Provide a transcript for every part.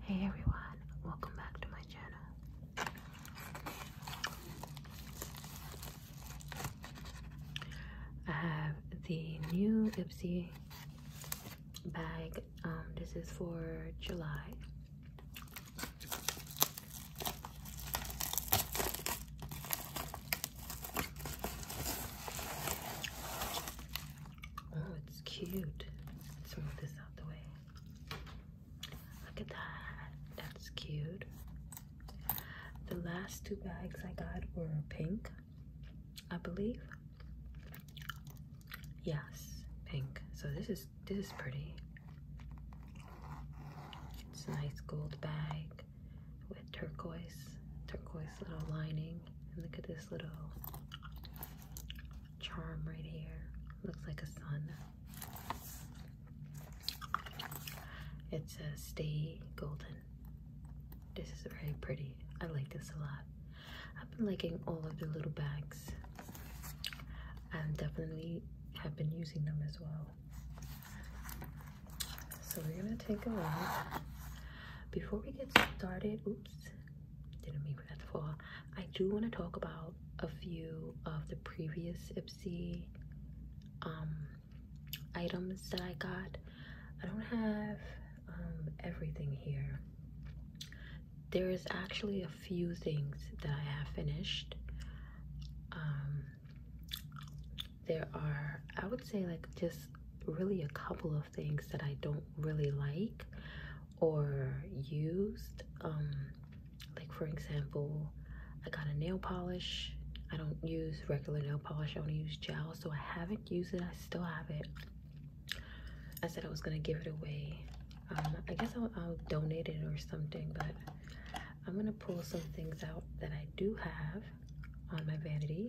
Hey everyone, welcome back to my channel. I have the new Ipsy bag. Um, this is for July. Oh, it's cute. Let's move this out the way. Look at that. That's cute. The last two bags I got were pink, I believe. Yes, pink. So this is this is pretty. It's a nice gold bag with turquoise, turquoise little lining. And look at this this little charm right here. Looks like a sun. It says stay golden. This is very pretty. I like this a lot. I've been liking all of the little bags. and definitely have been using them as well. So we're gonna take a look. Before we get started, didn't mean for that to fall. I do want to talk about a few of the previous Ipsy um, items that I got. I don't have um, everything here. There is actually a few things that I have finished. Um, there are, I would say, like just really a couple of things that I don't really like or used. Um, like, for example, I got a nail polish. I don't use regular nail polish, I only use gel, so I haven't used it. I still have it. I said I was gonna give it away. Um, I guess I'll donate it or something, but I'm gonna pull some things out that I do have on my vanity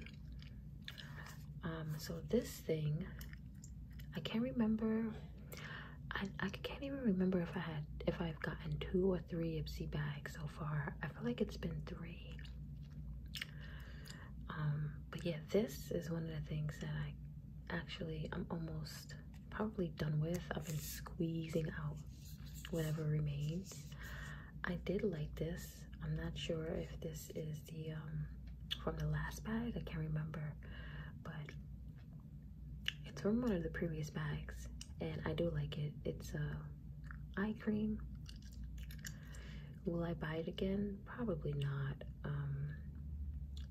um, so this thing, I can't remember. I, I can't even remember if I had if I've gotten two or three Ipsy bags so far. I feel like it's been three. Um, but yeah, this is one of the things that I actually I'm almost probably done with. I've been squeezing out whatever remains. I did like this. I'm not sure if this is the um, from the last bag. I can't remember, but it's from one of the previous bags, and I do like it. It's a uh, eye cream. Will I buy it again? Probably not. Um,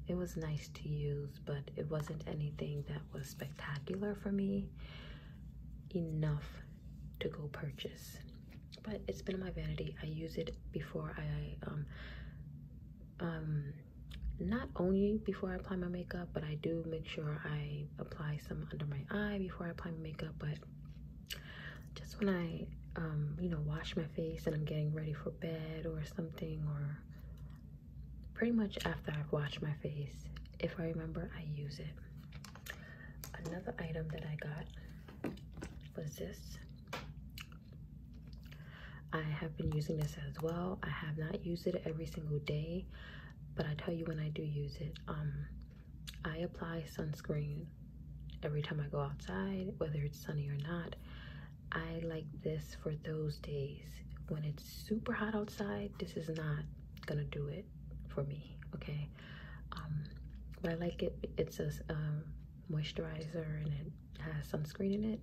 it was nice to use, but it wasn't anything that was spectacular for me enough to go purchase but it's been in my vanity. I use it before I um um not only before I apply my makeup, but I do make sure I apply some under my eye before I apply my makeup. But just when I um you know wash my face and I'm getting ready for bed or something or pretty much after I've washed my face, if I remember, I use it. Another item that I got was this. I have been using this as well. I have not used it every single day, but I tell you when I do use it. Um, I apply sunscreen every time I go outside, whether it's sunny or not. I like this for those days. When it's super hot outside, this is not gonna do it for me. Okay, um, but I like it. It's a um, moisturizer and it has sunscreen in it.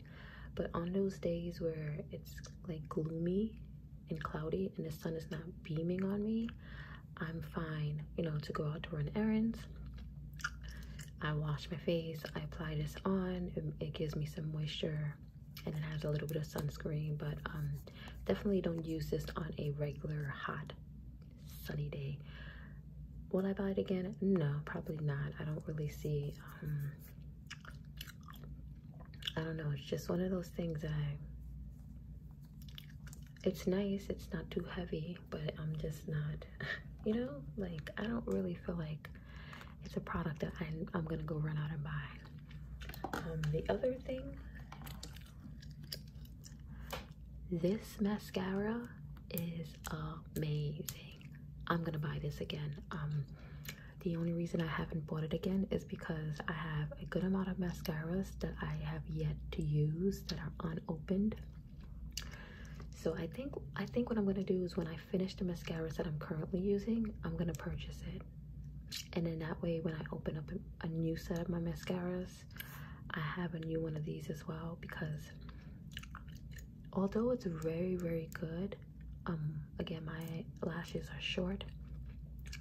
But on those days where it's like gloomy and cloudy and the sun is not beaming on me, I'm fine. You know, to go out to run errands. I wash my face, I apply this on, it, gives me some moisture and it has a little bit of sunscreen, but um, definitely don't use this on a regular hot sunny day. Will I buy it again? No, probably not. I don't really see, um, I don't know. It's just one of those things I, it's nice. It's not too heavy, but I'm just not, you know, like I don't really feel like it's a product that I'm, going to go run out and buy. Um, the other thing this mascara is amazing. I'm gonna buy this again. Um, the only reason I haven't bought it again is because I have a good amount of mascaras that I have yet to use that are unopened. So I think I think what I'm gonna do is when I finish the mascaras that I'm currently using, I'm gonna purchase it. And in that way when I open up a new set of my mascaras, i have a new one of these as well because although it's very very good um again my lashes are short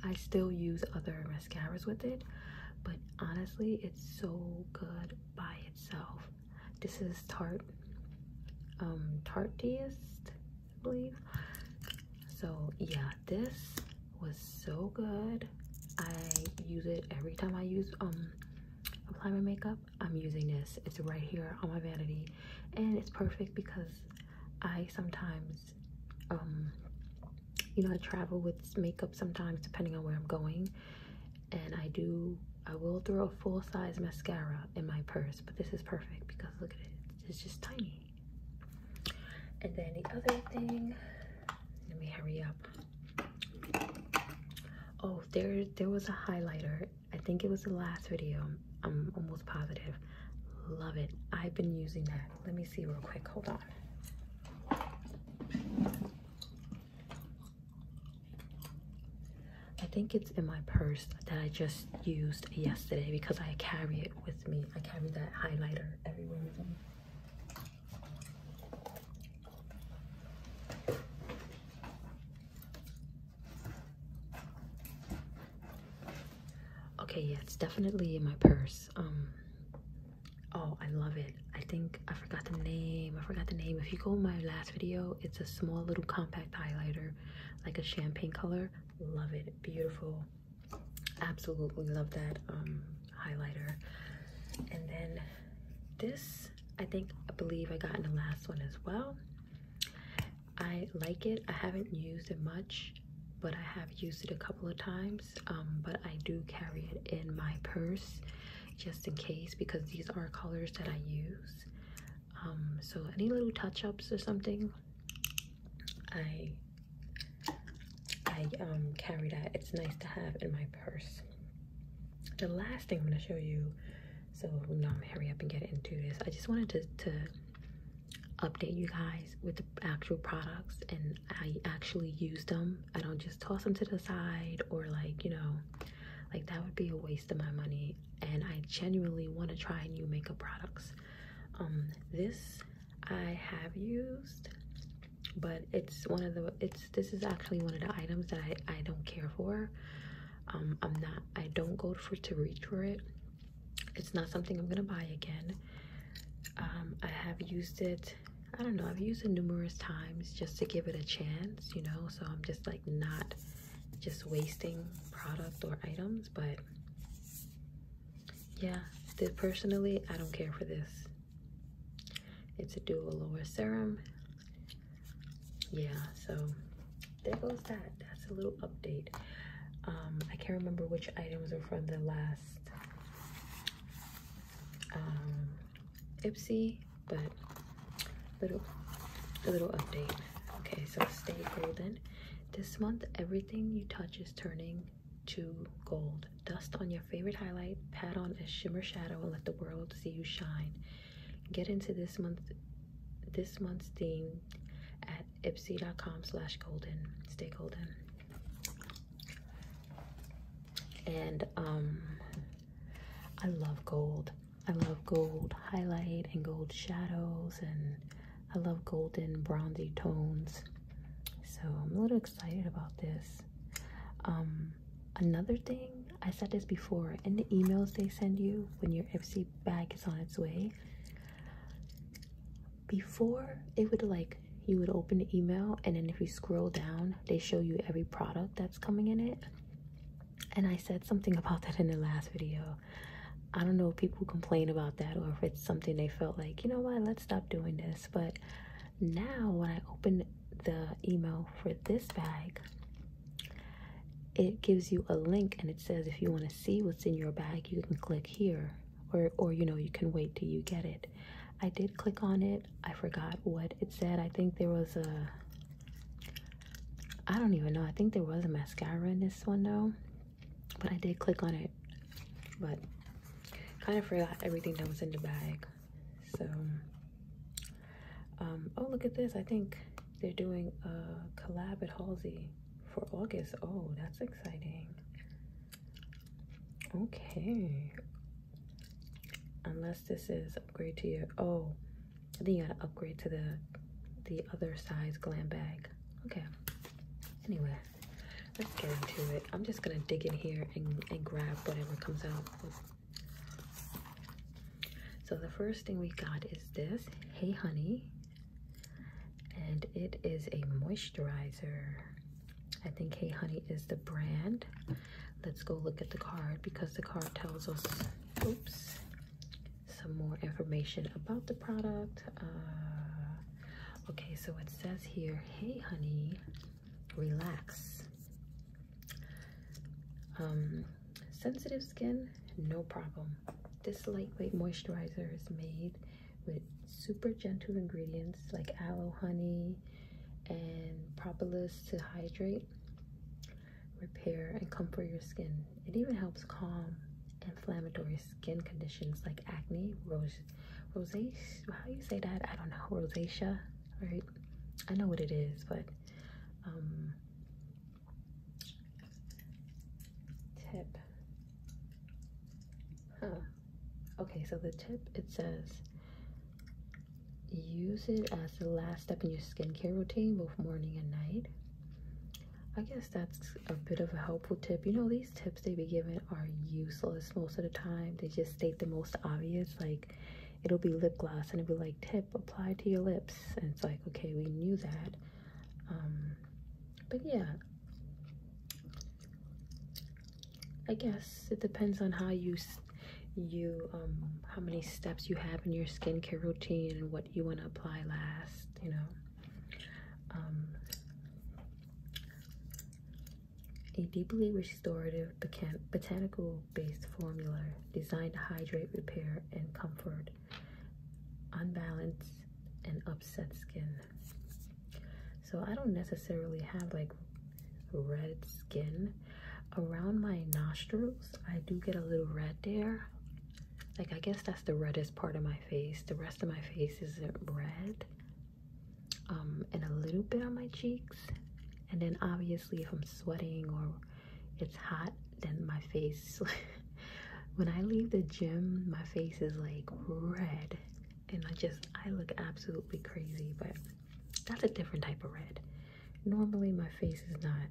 i still use other mascaras with it but honestly it's so good by itself this is Tart, um tartiest i believe so yeah this was so good. I use it every time I use um apply my makeup. I'm using this. It's right here on my vanity and it's perfect because I sometimes um you know I travel with makeup sometimes depending on where I'm going and I do I will throw a full size mascara in my purse but this is perfect because look at it it's just tiny and then the other thing let me hurry up. Oh, there there was a highlighter. I think it was the last video. I'm almost positive. Love it. I've been using that. Let me see real quick. Hold on. I think it's in my purse that I just used yesterday because I carry it with me. I carry that highlighter everywhere with me. Okay, yeah, it's definitely in my purse. Um, oh, I love it. I think I forgot the name. I forgot the name. If you go in my last video, it's a small little compact highlighter, like a champagne color. Love it. Beautiful absolutely love that um, highlighter. And then this, I think, I believe I got in the last one as well. I like it. I haven't used it much, but I have used it a couple of times. Um, but I do carry it in my purse just in case because these are colors that I use. Um, so any little touch-ups or something, I I um, carry that. It's nice to have in my purse. The last thing I'm going to show you, so now I'm hurry up and get into this. I just wanted to, to update you guys with the actual products and I actually use them. I don't just toss them to the side or like, you know, like that would be a waste of my money. And I genuinely want to try new makeup products. Um, this I have used but it's one of the it's this is actually one of the items that i i don't care for um i'm not i don't go for to reach for it it's not something i'm gonna buy again um i have used it i don't know i've used it numerous times just to give it a chance you know so i'm just like not just wasting product or items but yeah, personally, I don't care for this. It's a dual lower serum. Yeah, so there goes that. That's a little update. Um, I can't remember which items are from the last um, Ipsy, but little a little update. Okay, so stay golden. This month, everything you touch is turning to gold. Dust on your favorite highlight, pat on a shimmer shadow, and let the world see you shine. Get into this month this month's theme at ipsy.com slash golden. Stay golden. And um I love gold. I love gold highlight and gold shadows and I love golden bronzy tones. So I'm a little excited about this. Um, another thing, I said this before, in the emails they send you when your Ipsy bag is on its way, before it would like, you would open the email and then if you scroll down, they show you every product that's coming in it. And I said something about that in the last video. I don't know if people complain about that or if it's something they felt like, you know what, let's stop doing this. But now, when I open the email for this bag, it gives you a link and it says if you want to see what's in your bag, you can click here or or you know, you can wait till you get it. I did click on it. I forgot what it said. I think there was a I don't even know. I think there was a mascara in this one though but I did click on it, but kind of forgot everything that was in the bag. So, um, oh, look at this. I think they're doing a collab at Halsey for August. Oh, that's exciting. Okay. Unless this is upgrade to your, oh, I think you gotta upgrade to the, the other size glam bag. Okay. Anyway. Let's get into it. I'm just gonna dig in here and, grab whatever comes out. So the first thing we got is this, Hey Honey. And it is a moisturizer. I think Hey Honey is the brand. Let's go look at the card because the card tells us, oops, some more information about the product. Uh, Okay, so it says here, hey honey, relax. Um, sensitive skin, no problem. This lightweight moisturizer is made with super gentle ingredients like aloe honey and propolis to hydrate, repair, and comfort your skin. It even helps calm inflammatory skin conditions like acne, rose, rosacea. How do you say that? I don't know. Rosacea, right? I know what it is, but um, tip. Okay, so the tip it says use it as the last step in your skincare routine, both morning and night. I guess that's a bit of a helpful tip. You know, these tips they be giving are useless most of the time. They just state the most obvious, like it'll be lip gloss and it'll be like tip apply to your lips. And it's like, okay, we knew that. Um, but yeah, I guess it depends on how you you um, how many steps you have in your skincare routine and what you want to apply last you know um, a deeply restorative botanical based formula designed to hydrate, repair, and comfort unbalanced and upset skin. So I don't necessarily have like red skin. Around my nostrils, I do get a little red there. Like I guess that's the reddest part of my face. The rest of my face isn't red. Um, and a little bit on my cheeks. And then obviously if I'm sweating or it's hot, then my face, when I leave the gym, my face is like red. And I just, I look absolutely crazy, but that's a different type of red. Normally my face is not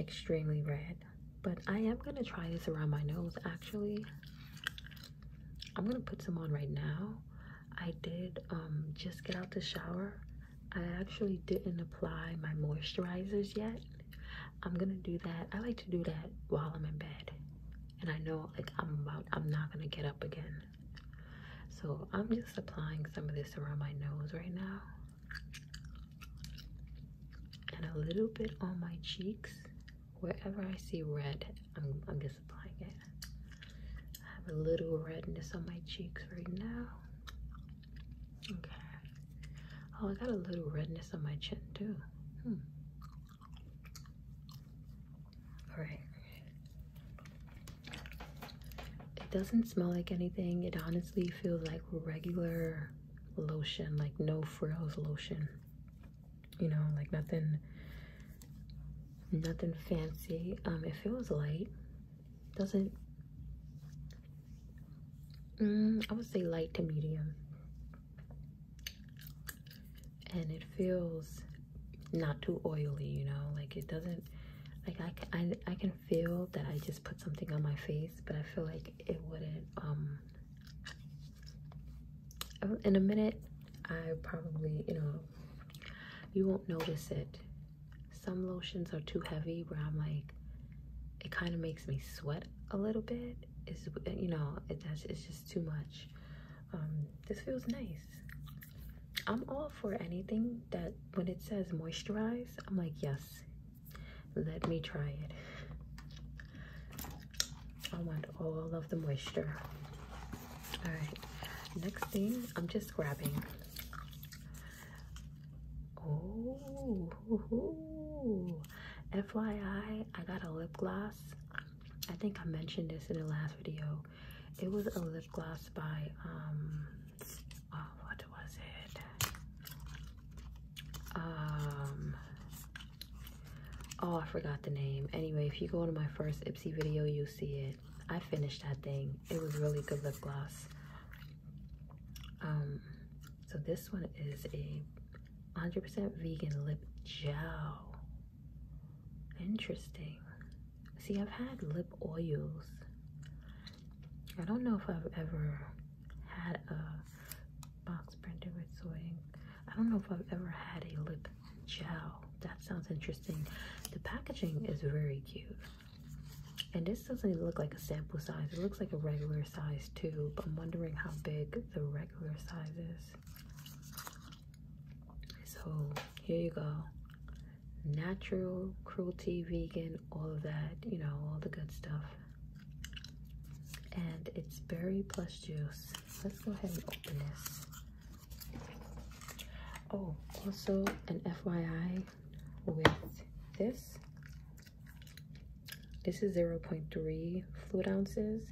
extremely red but I am going to try this around my nose actually. I'm going to put some on right now. I did um, just get out the shower. I actually didn't apply my moisturizers yet. I'm going to do that. I like to do that while I'm in bed. And I know like I'm about I'm not going to get up again. So, I'm just applying some of this around my nose right now. And a little bit on my cheeks wherever I see red, I'm, just applying it. I have a little redness on my cheeks right now. Okay. Oh, I got a little redness on my chin too. Hmm. All right. It doesn't smell like anything. It honestly feels like regular lotion, like no frills lotion you know like nothing nothing fancy um it feels light doesn't mm, i would say light to medium and it feels not too oily you know like it doesn't like I, can, I, I can feel that i just put something on my face but i feel like it wouldn't um um, in a minute, I probably, you know, you won't notice it. Some lotions are too heavy where I'm like, it kind of makes me sweat a little bit. It's, you know, it, it's just too much. Um, this feels nice. I'm all for anything that when it says moisturize, I'm like, yes, let me try it. I want all of the moisture. All right, next thing, I'm just grabbing. Oh, FYI, I got a lip gloss. I think I mentioned this in the last video. It was a lip gloss by, um, oh, what was it? Um, oh i forgot the name anyway if you go to my first ipsy video you'll see it i finished that thing it was really good lip gloss um so this one is a 100% vegan lip gel interesting see i've had lip oils i don't know if i've ever had a box printed with soy I don't know if I've ever had a lip gel. That sounds interesting. The packaging is very cute. And this doesn't look like a sample size. It looks like a regular size tube. I'm wondering how big the regular size is. So here you go. Natural, cruelty, vegan, all of that, you know, all the good stuff and it's berry plus juice. Let's go ahead and open this. Oh, also an FYI with this. This is 0.3 fluid ounces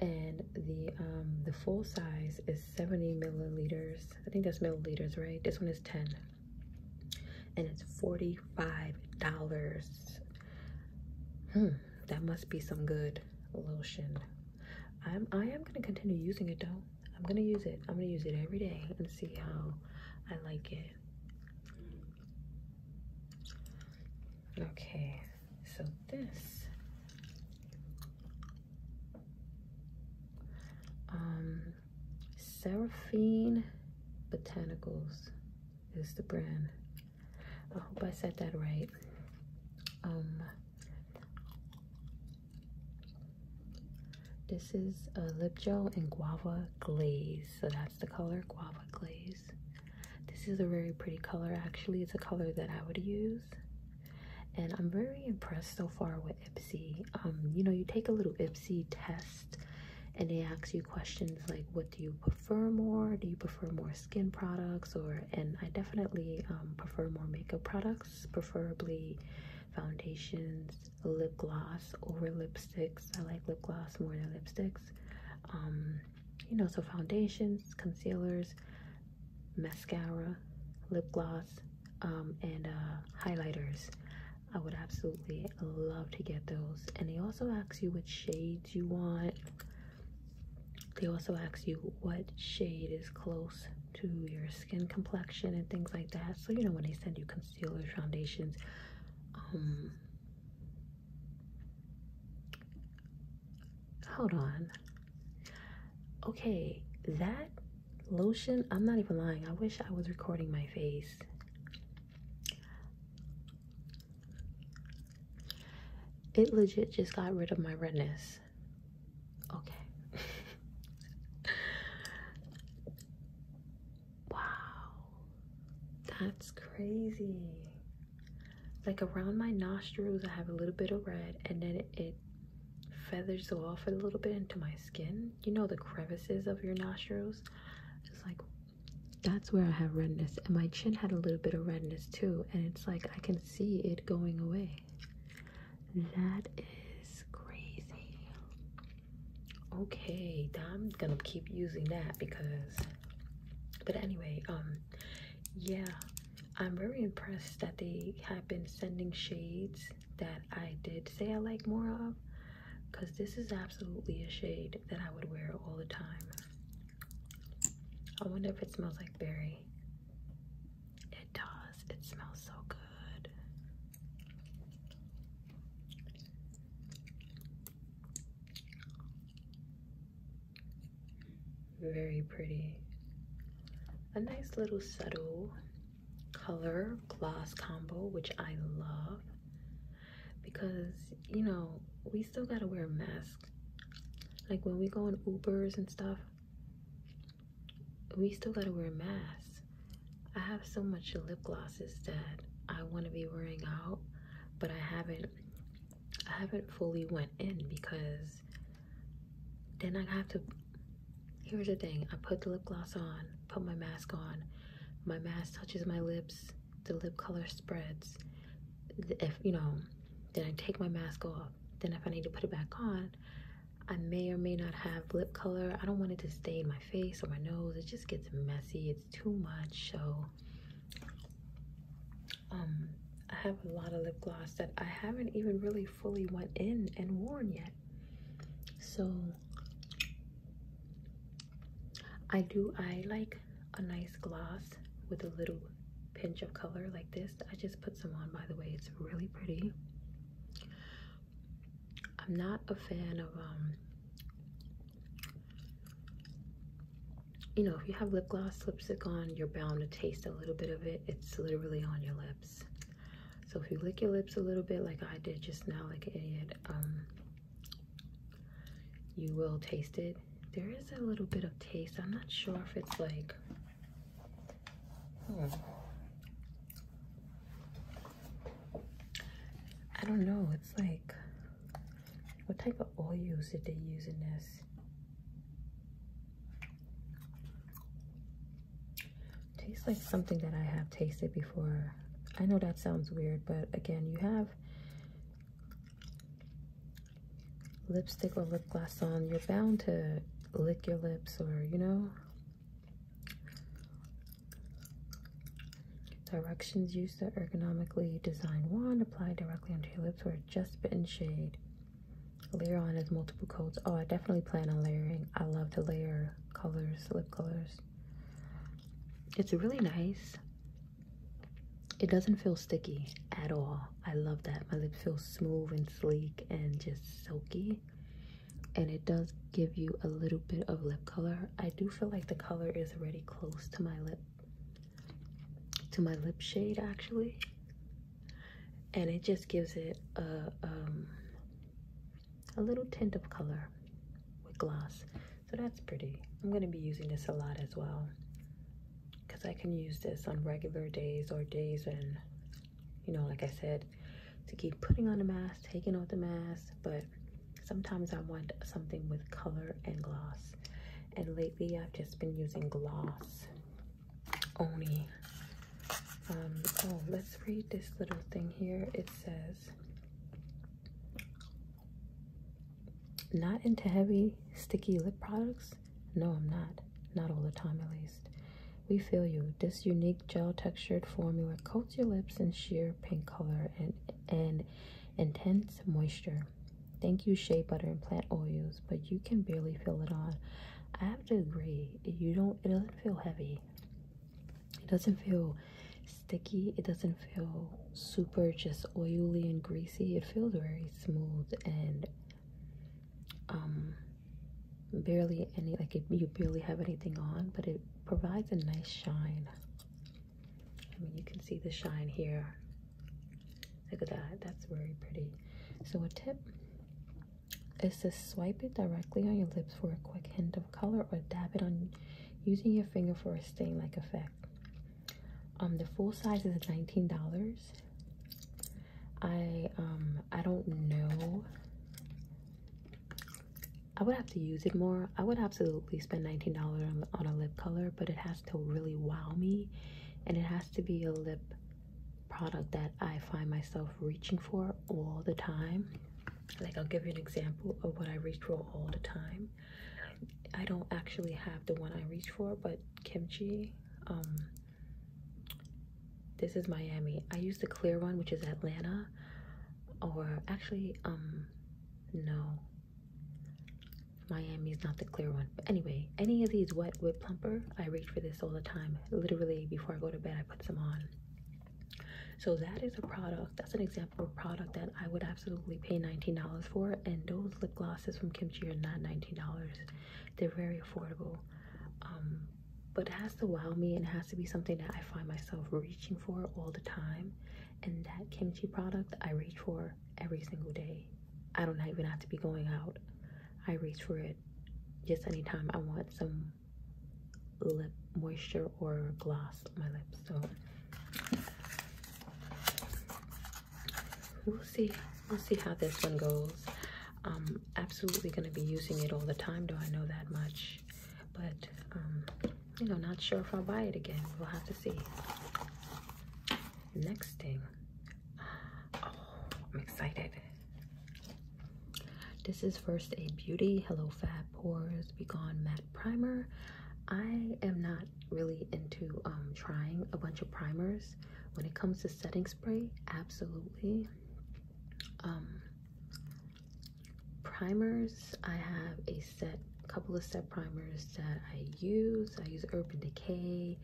and the um, the full size is 70 milliliters. I think that's milliliters, right? This one is 10 and it's $45. Hmm, that must be some good lotion. I'm I am gonna continue using it though. I'm gonna use it. I'm gonna use it every day and see how I like it. Okay, so this um Seraphine Botanicals is the brand. I hope I said that right. Um, this is a lip gel and guava glaze. So that's the color, guava glaze. This is a very pretty color. Actually, it's a color that I would use. And I'm very impressed so far with Ipsy. Um, you know, you take a little Ipsy test and they ask you questions like what do you prefer more do you prefer more skin products or and i definitely um, prefer more makeup products preferably foundations lip gloss over lipsticks i like lip gloss more than lipsticks um, you know so foundations concealers mascara lip gloss um, and uh, highlighters i would absolutely love to get those. And they also ask you what shades you want. They also ask you what shade is close to your skin complexion and things like that. So, you know, when they send you concealers, foundations, um, hold on. Okay, that lotion, I'm not even lying. I wish I was recording my face. It legit just got rid of my redness. Okay. wow. That's crazy. Like around my nostrils, I have a little bit of red, and then it, it feathers off a little bit into my skin. You know the crevices of your nostrils? It's like that's where I have redness. And my chin had a little bit of redness too. And it's like I can see it going away. That is crazy. Okay, I'm gonna keep using that because. But anyway, um, yeah, I'm very impressed that they have been sending shades that I did say I like more of because this is absolutely a shade that I would wear all the time. I wonder if it smells like berry. It does. It smells so good. Very pretty. A nice little subtle color gloss combo, which I love because you know we still gotta wear masks like when we go on ubers and stuff we still gotta wear masks i have so much lip glosses that i want to be wearing out but i haven't i haven't fully went in because then i have to here's the thing i put the lip gloss on put my mask on my mask touches my lips the lip color spreads if you know then i take my mask off then if i need to put it back on i may or may not have lip color i don't want it to stay in my face or my nose it just gets messy it's too much so um i have a lot of lip gloss that i haven't even really fully went in and worn yet so I do I like a nice gloss with a little pinch of color like this. I just put some on by the way. It's really pretty. I'm not a fan of um you know, if you have lip gloss, lipstick on, you're bound to taste a little bit of it. It's literally on your lips. So if you lick your lips a little bit like I did just now, like an idiot, um, you will taste it. There is a little bit of taste. I'm not sure if it's like, hmm. I don't know. It's like, what type of oil did they use in this? Tastes like something that I have tasted before. I know that sounds weird, but again, you have lipstick or lip gloss on, you're bound to lick your lips or, you know, directions use the ergonomically designed wand, apply directly onto your lips or adjust bitten shade. Layer on as multiple coats. Oh, I definitely plan on layering. I love to layer colors, lip colors. It's really nice. It doesn't feel sticky at all. I love that. My lips feel smooth and sleek and just silky. And it does give you a little bit of lip color. I do feel like the color is already close to my lip, to my lip shade actually. And it just gives it a, um, a little tint of color with gloss. So that's pretty. I'm going to be using this a lot as well because I can use this on regular days or days when, you know, like I said, to keep putting on a mask, taking off the mask, but sometimes I want something with color and gloss. And lately I've just been using gloss only. Um, oh, let's read this little thing here. It says, not into heavy, sticky lip products? No, I'm not. Not all the time, at least. We feel you. This unique gel textured formula coats your lips in sheer pink color and, and intense moisture. Thank you, shea butter and plant oils, but you can barely feel it on. I have to agree, you don't it doesn't feel heavy it doesn't feel sticky it doesn't feel super just oily and greasy it feels very smooth and um barely any like you barely have anything on but it provides a nice shine i mean you can see the shine here look at that that's very pretty so a tip is to swipe it directly on your lips for a quick hint of color or dab it on using your finger for a stain like effect. Um, the full size is $19. I um I don't know. I would have to use it more. I would absolutely spend $19 on a lip color, but it has to really wow me. And it has to be a lip product that I find myself reaching for all the time like I'll give you an example of what I reach for all the time. I don't actually have the one I reach for, but kimchi. Um, this is Miami. I use the clear one, which is Atlanta, or actually, um, no. Miami is not the clear one. But anyway, any of these wet whip plumper, I reach for this all the time. Literally, before I go to bed, I put some on. So that is a product. That's an example of a product that I would absolutely pay $19 for. And those lip glosses from Kimchi are not $19. They're very affordable. Um, but it has to wow me and it has to be something that I find myself reaching for all the time. And that kimchi product I reach for every single day. I don't even have to be going out. I reach for it just anytime I want some lip moisture or gloss on my lips. So we'll see. We'll see how this one goes. I'm absolutely going to be using it all the time, Do I know that much. But, um, you know, not sure if I'll buy it again. We'll have to see. Next thing. Oh, I'm excited. This is First Aid Beauty Hello Fab Pores Be Gone Matt primer. I am not really into um, trying a bunch of primers. When it comes to setting spray, absolutely. Um, primers, I have a set, couple of set primers that I use. I use Urban Decay,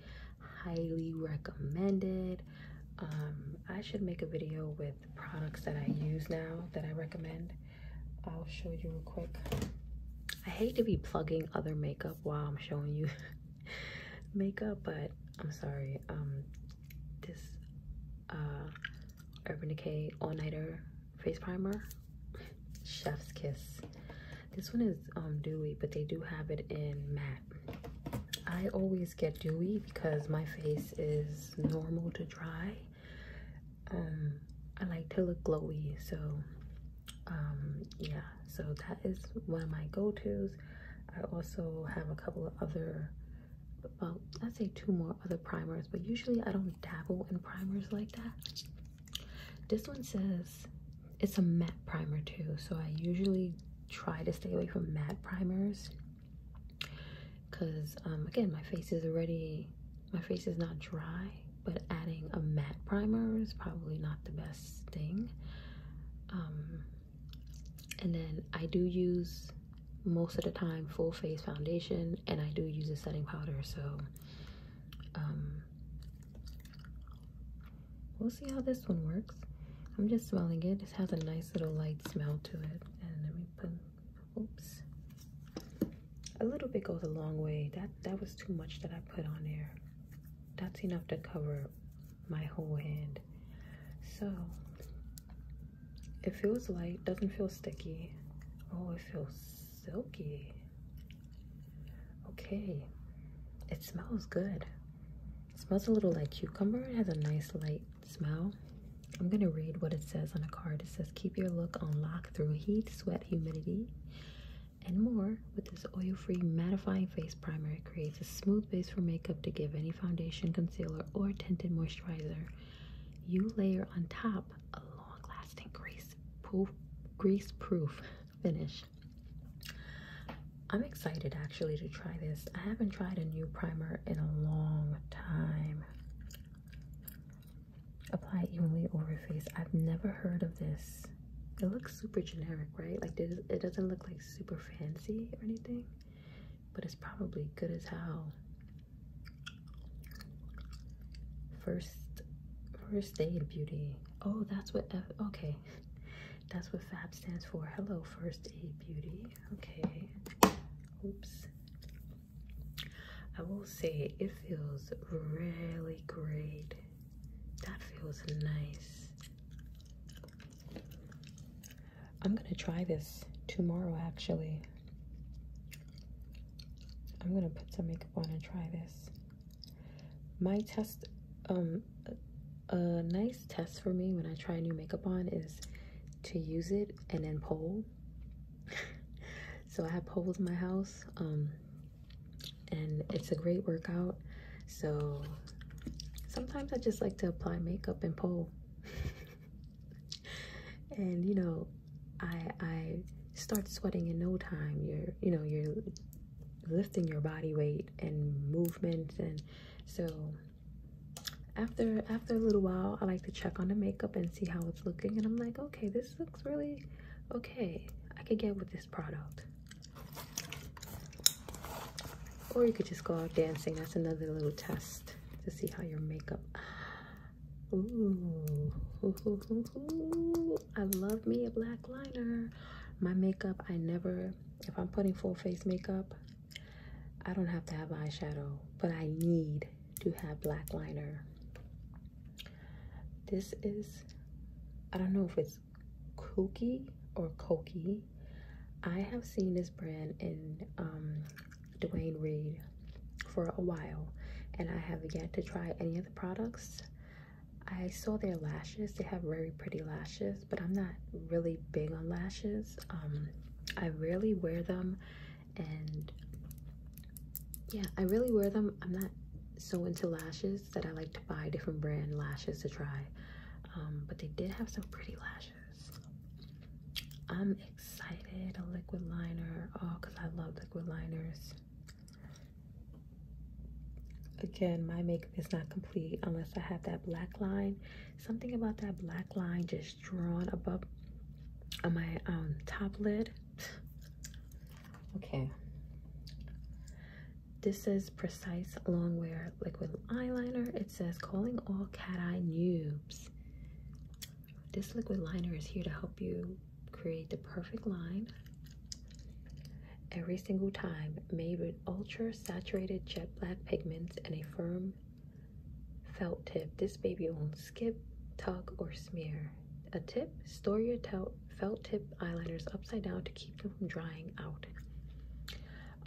highly recommended. Um, I should make a video with with products that I use now that I recommend. I'll show you real quick. I hate to be plugging other makeup while I'm showing you makeup, but I'm sorry. Um, this uh, Urban Decay All Nighter Face Primer, Chef's Kiss. This one is um, dewy, but they do have it in matte. I always get dewy because my face is normal to dry um, i like to look glowy so um, yeah so that is one of my go-to's i also have a couple of other well i'd say two more other primers but usually i don't dabble in primers like that this one says it's a matte primer too so i usually try to stay away from matte primers because um, again my face is already my face is not dry but adding a matte primer is probably not the best thing um, and then I do use most of the time full face foundation and I do use a setting powder so um, we'll see how this one works I'm just smelling it. It has a nice little light smell to it. And let me put oops a little bit goes a long way that that was too much that i put on there that's enough to cover my whole hand so it feels light doesn't feel sticky oh it feels silky okay it smells good smells a little like cucumber it has a nice light Smile. I'm going to read what it says on the card. It says, Keep your look on lock through heat, sweat, humidity, and more. With this oil free mattifying face primer, creates a smooth base for makeup to give any foundation, concealer, or tinted moisturizer you layer on top a long lasting grease proof, grease proof finish. I'm excited actually to try this. I haven't tried a new primer in a long time. Apply evenly over face. I've never heard of this. It looks super generic, right? Like it doesn't look like super fancy or anything, but it's probably good as hell. First, first aid beauty. Oh, that's what. F okay, that's what FAB stands for. Hello, first aid beauty. Okay. Oops. I will say it feels really great. That feels nice. I'm going to try this tomorrow actually. I'm going to put some makeup on and try this. My test um a nice test for me when I try new makeup on is to use it and then pull so I have poles in my house, um, and it's a great workout. So sometimes I just like to apply makeup and pole. and you know, I I start sweating in no time. You're you know, you're lifting your body weight and movement and so after after a little while i like to check on the makeup and see how it's looking and i'm like okay this looks really okay i could get with this product or you could just go out dancing that's another little test to see how your makeup Ooh. i love me a black liner my makeup i never if i'm putting full face makeup I don't have to have eyeshadow, but I need to have black liner. This is, I don't know if it's kooky or cokie. I have seen this brand in um, Dwayne Reed for a while, and I have yet to try any of the products. I saw their lashes. They have very pretty lashes, but I'm not really big on lashes. Um, I rarely wear them and yeah i really wear them i'm not so into lashes that i like to buy different brand lashes to try um, but they did have some pretty lashes i'm excited a liquid liner oh because i love liquid liners again my makeup is not complete unless i have that black line something about that black line just drawn above on my um, top lid. Okay. This is Precise long-wear Liquid Eyeliner. It says, calling all cat eye noobs. This liquid liner is here to help you create the perfect line every single time. Made with ultra saturated jet black pigments and a firm Felt tip. This baby won't skip, tug, or smear. A tip, store your felt tip eyeliners upside down to keep them from drying out.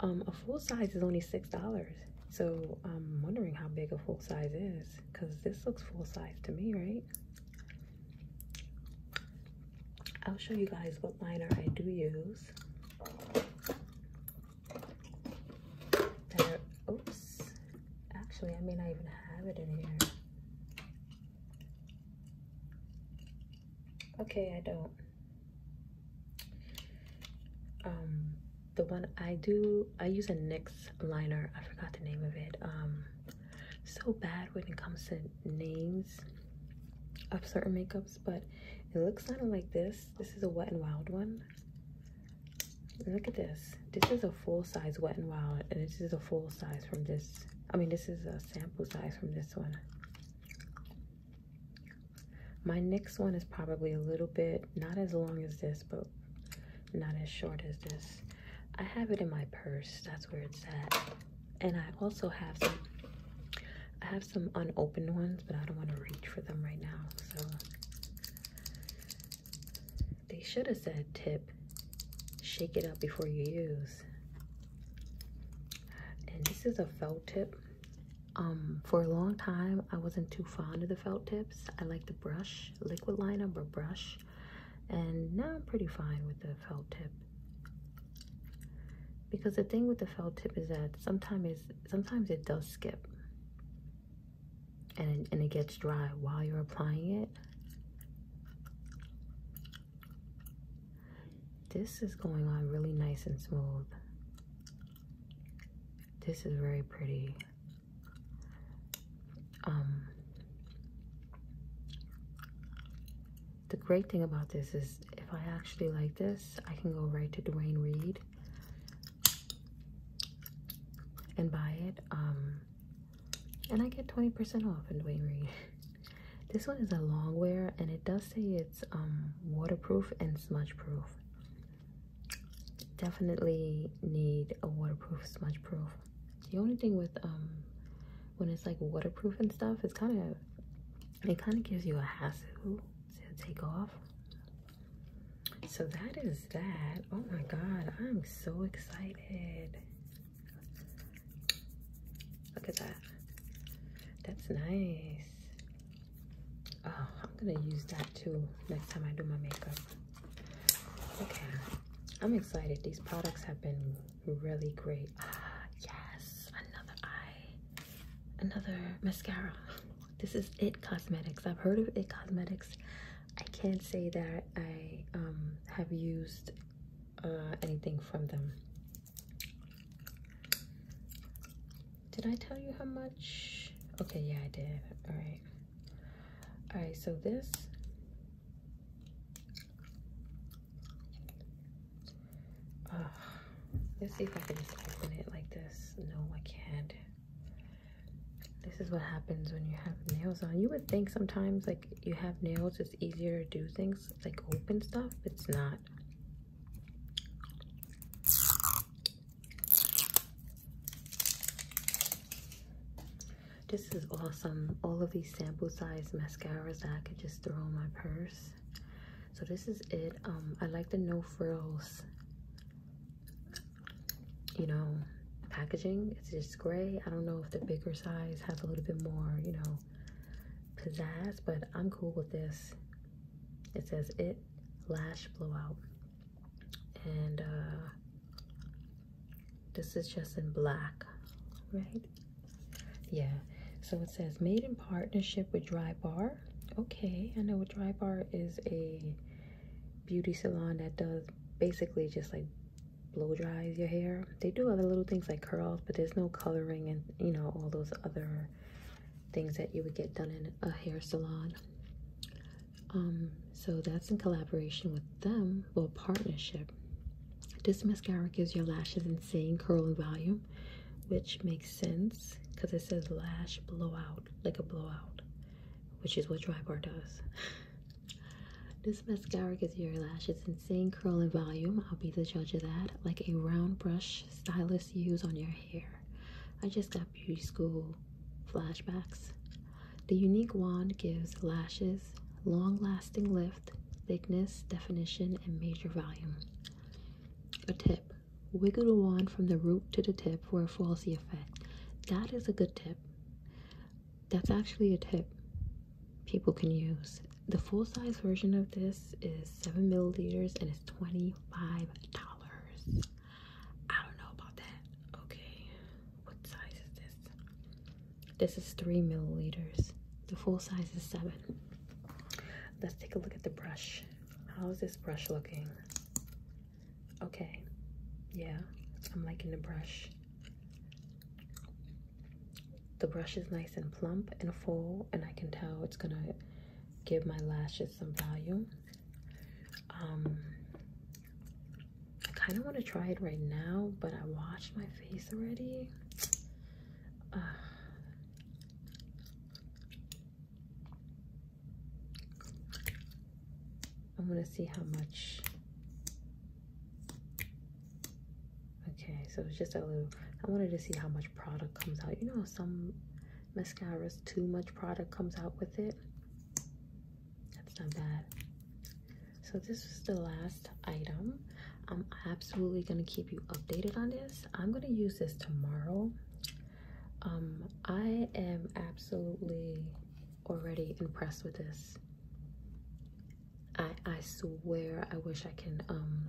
Um, a full size is only $6. So I'm wondering how big a full size is because this looks full size to me, right? I'll show you guys what liner I do use oops, actually I may not even have it in here. Okay, I don't. Um, the one I do, I use a NYX liner. I forgot the name of it. Um, so bad when it comes to names of certain makeups, but it looks kind of like this. This is a Wet and Wild one. Look at this. This is a full size Wet n Wild, and this is a full size from this. I mean, this is a sample size from this one. My next one is probably a little bit, not as long as this, but not as short as this. I have it in my purse. That's where it's at. And I also have some, I have some unopened ones, but I don't want to reach for them right now. So they should have said tip, shake it up before you use. And this is a felt tip. Um, for a long time, I wasn't too fond of the felt tips. I like the brush, liquid liner, but brush. And now I'm pretty fine with the felt tip. Because the thing with the felt tip is that sometimes sometimes it does skip and, and it gets dry while you're applying it. This is going on really nice and smooth. This is very pretty. Um, the great thing about this is if I actually like this, I can go right to Dwayne Reed and buy it. Um, and I get 20% off in Wainwright. this one is a long wear and it does say it's um, waterproof and smudge proof. Definitely need a waterproof, smudge proof. The only thing with um, when it's like waterproof and stuff, it's kind of, it kind of gives you a hassle to take off so that is that. Oh my god, I'm so excited. Look at that. That's nice. Oh, I'm gonna use that too next time I do my makeup. Okay, I'm excited. These products have been really great. Ah, yes, another eye, another mascara. This is It Cosmetics. I've heard of It Cosmetics. I can't say that I um, have used uh, anything from them. Did I tell you how much? Okay, yeah, I did. All right. All right, so this Uh, let's see if I can just open it like this. No, I can't. This is what happens when you have nails on. You would think sometimes like you have nails, it's easier to do things like open stuff. It's not. This is awesome. All of these sample size mascaras that I could just throw in my purse. So this is it. Um, I like the no frills you know, packaging. It's just gray. I don't know if the bigger size has a little bit more, you know, pizzazz, but I'm cool with this. It says it lash blowout. And uh, this is just in black, right? Yeah. So it says made in partnership with Dry Bar Okay, I know a dry bar is a beauty salon that does basically just like blow dries your hair. They do other little things like curls, but there's no coloring and you know, all those other things that you would get done in a hair salon. Um, so that's in collaboration with them, well, partnership. This mascara gives your lashes insane curl and volume, which makes sense because it says lash blowout like a blowout, which is what dry bar does. this mascara gives your lashes insane curl and volume. I'll be the judge of that. Like a round brush stylist use on your hair. I just got beauty school flashbacks. The unique wand gives lashes long lasting lift, thickness, definition, and major volume. A tip Wiggle the wand from the root to the tip for a falsy effect. That is a good tip. That's actually a tip people can use. The full size version of this is 7 milliliters and it's $25. I don't know about that. Okay, what size is this? This is 3 milliliters. The full size is 7. Let's take a look at the brush. How is this brush looking? Okay, yeah, I'm liking the brush. The brush is nice and plump and full, and I can tell it's gonna give my lashes some volume. Um, I kind of want to try it right now, but I washed my face already. I'm gonna see how much. Okay, so it's just a little. I wanted to see how much product comes out. You know, some mascaras, too much product comes out with it. That's not bad. So this is the last item. I'm absolutely gonna keep you updated on this. I'm gonna use this tomorrow um, I am absolutely already impressed with this. I I swear I wish I can um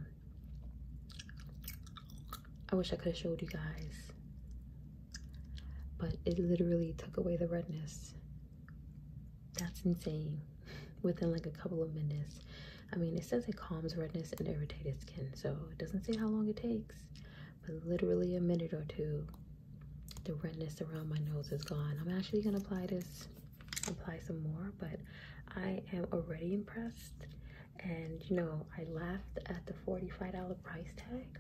I wish I could have showed you guys. But it literally took away the redness. That's insane. Within like a couple of minutes. I mean, it says it calms redness and irritated skin, so it doesn't say how long it takes but literally a minute or two, the redness around my nose is gone. I'm actually gonna apply this, apply some more, but I am already impressed. And you know, I laughed at the $45 price tag,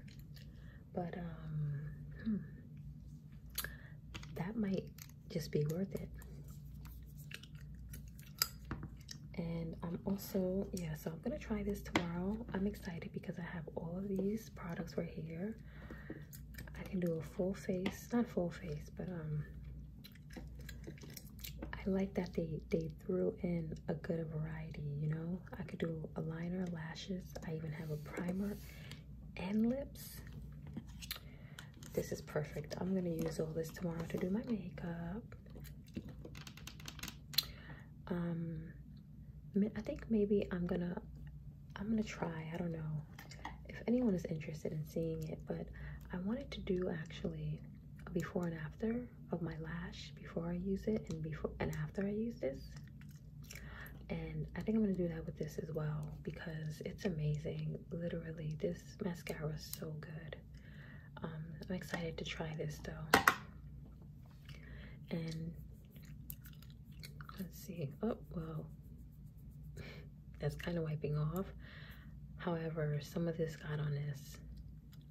but um, hmm, that might just be worth it and I'm also yeah so I'm gonna try this tomorrow I'm excited because I have all of these products right here I can do a full face not full face but um I like that they they threw in a good variety you know I could do a liner lashes I even have a primer and lips this is perfect I'm gonna use all this tomorrow to do my makeup um, I think maybe I'm gonna I'm gonna try. I don't know if anyone is interested in seeing it, but I wanted to do actually before and after of my lash before I use it and before and after I use this. And I think I'm gonna do that with this as well because it's amazing. Literally, this mascara is so good. Um, I'm excited to try this though. And let's see. Oh, well, that's kind of wiping off. However, some of this got on this.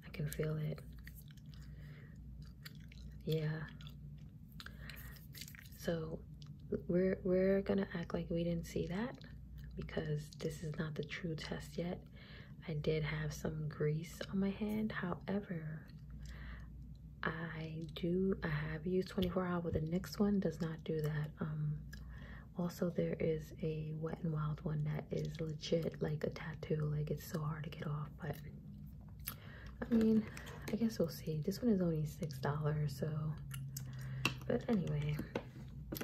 I can feel it. Yeah. So we're we're gonna act like we didn't see that because this is not the true test yet I did have some grease on my hand. However, I do, I have used 24 hour, but the next one does not do that. Um, also, there is a Wet n Wild one that is legit like a tattoo. Like it's so hard to get off, but I mean, I guess we'll see. This one is only $6, so, but anyway,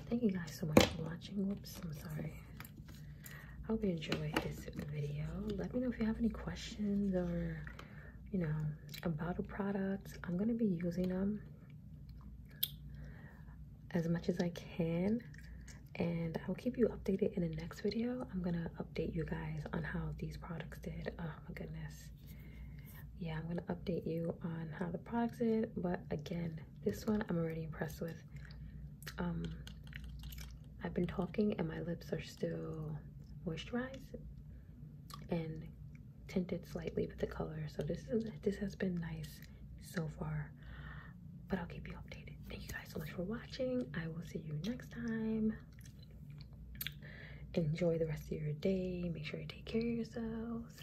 thank you guys so much for watching. Whoops, I'm sorry. I hope you enjoyed this video. Let me know if you have any questions or, you know, about the products. I'm going to be using them as much as I can. And I'll keep you updated in the next video. I'm going to update you guys on how these products did. Oh my goodness. Yeah, I'm going to update you on how the products did. But again, this one I'm already impressed with. Um, I've been talking and my lips are still moisturized and tinted slightly with the color. So this this has been nice so far. But I'll keep you updated. Thank you guys so much for watching. I will see you next time. Enjoy the rest of your day. Make sure you take care of yourselves.